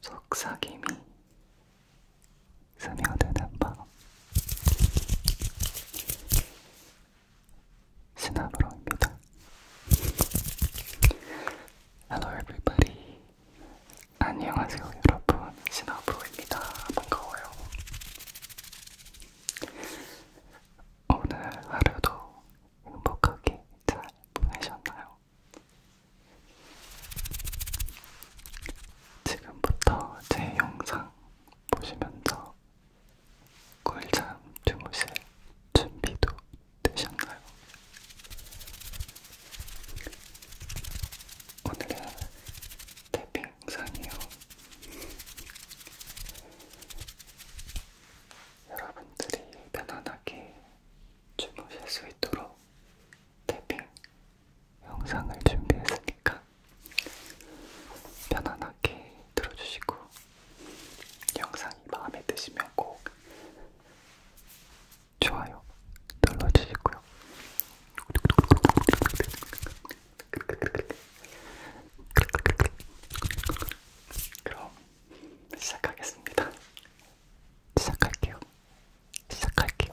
속삭임이 스며드는 밤 시나브로입니다. Hello everybody. 안녕하세요 여러분. 시나브로입니다. 반가워요. 오늘 하루도 행복하게 잘 보내셨나요? 지금부터 제 영상 보시면서 꿀잠 주무실 준비도 되셨나요? 오늘은 태핑 영상이요. 여러분들이 편안하게 주무실 수 있도록 태핑 영상을 준비했으니까 편안하게 들어주시고 영상이 마음에 드시면 꼭 좋아요 눌러주시고요. 그럼 시작하겠습니다. 시작할게요. 시작할게요.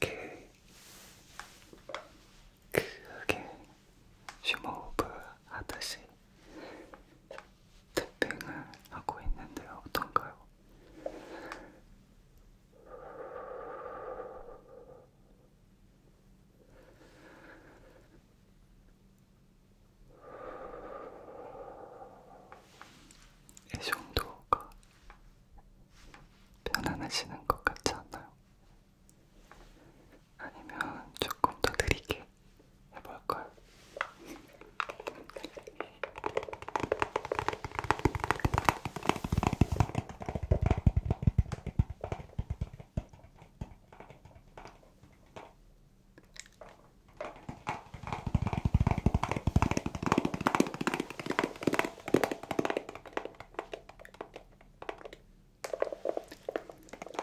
크게 크게 심호흡을 하듯이 탭핑을 하고 있는데 어떤가요? 이 정도가 편안하시는 것 같지 않나요? 아니면 조금 더 느리게 해볼걸.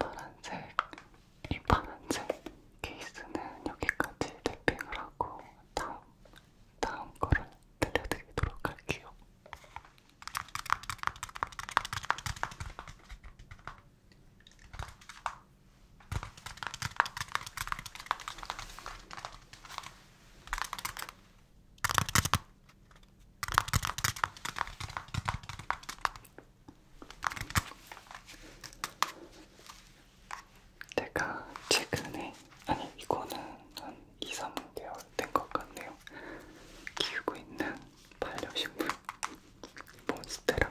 파란색, 이 파란색 케이스는 여기까지 랩핑을 하고 다음, 다음 거를 들려드리도록 할게요. 제가 최근에, 아니 이거는 한 2, 3개월 된 것 같네요. 키우고 있는 반려식물 몬스테라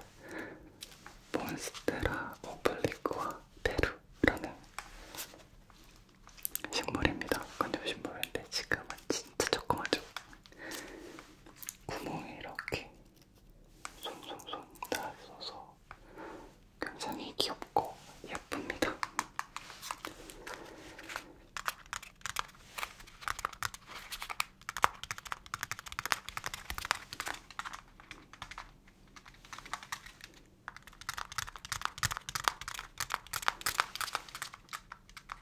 몬스테라 오블리크와 페루라는 식물입니다. 건조식물인데 지금은 진짜 조그마죠. 구멍에 이렇게 송송송 다 있어서 굉장히 귀엽고 예쁩니다.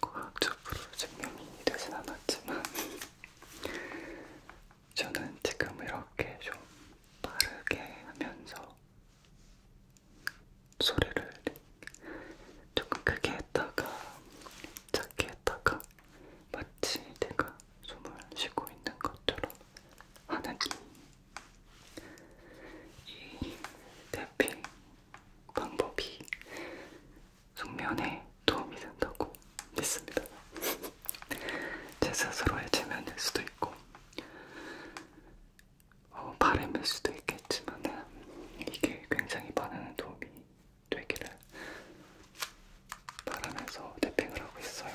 과학적으로 증명이 되진 않았지만 저는 지금 이렇게 좀 빠르게 하면서 소리를 조금 크게 했다가 작게 했다가 마치 내가 숨을 쉬고 있는 것처럼 하는 이, 이 탭핑 방법이 숙면에 도움이 된다고 믿습니다. 제 스스로의 체면일 수도 있고 어, 바램일 수도 있겠지만 이게 굉장히 많은 도움이 되기를 바라면서 탭핑을 하고 있어요.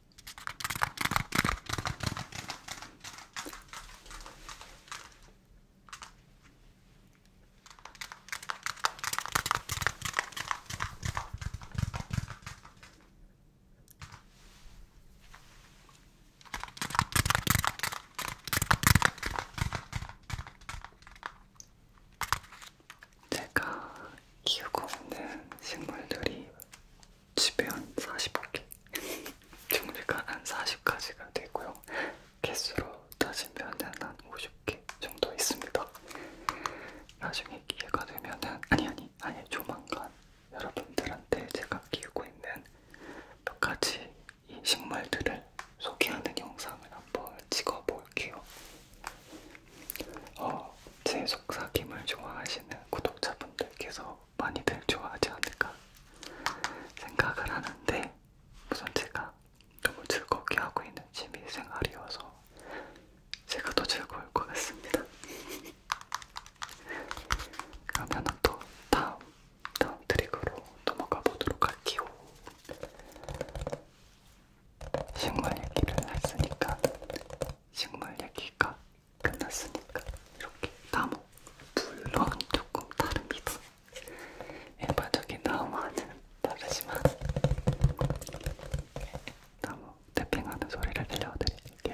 제가 키우고 있는 식물들이 집에 한 40개 종류가 한 40가지가 되고요 개수로 따지면 한 50개 정도 있습니다 나중에 기회가 되면은 아니 아니 아니 조만간 여러분들한테 제가 키우고 있는 몇 가지 이 식물들을 소개하는 영상을 한번 찍어볼게요 어, 제 속삭임을 좋아하시는 구독자분들께서 많이들 좋아하지 않을까 생각을 하는데 우선 제가 너무 즐겁게 하고 있는 취미생활이어서 제가 더 즐거울 것 같습니다. 그러면 또 다음, 다음 트릭으로 넘어가 보도록 할게요. 식물 얘기를 했으니까 식물 얘기가 끝났으니까 이렇게 나무 물론 조금 다릅니다. 일반적인 나무와는 다르지만 나무 태핑하는 소리를 들려드릴게요.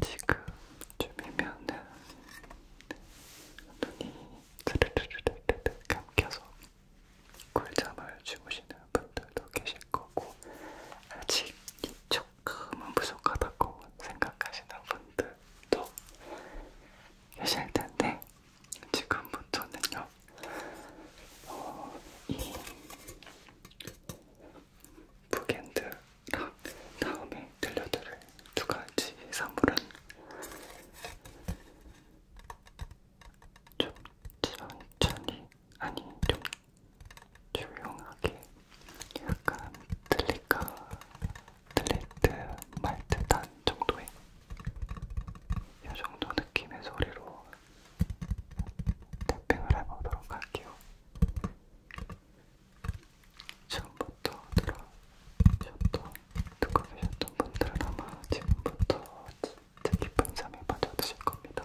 지금쯤이면은 눈이 드르르르르 감겨서 꿀잠을 주무시는 분들도 계실 거고 아직 조금은 부족하다고 생각하시는 분들도 계실 텐데 지금부터는요. 어, 이 북앤드랑 다음에 들려드릴 두 가지 선물은 좀 천천히 아니 좀 조용하게 약간 들릴까 틀릴 듯말듯한 정도의 이 정도 느낌의 소리로 탭핑을 해보도록 할게요. 지금부터 들어주셨던, 듣고 계셨던 분들은 아마 지금부터 진짜 깊은 잠에 빠져드실 겁니다.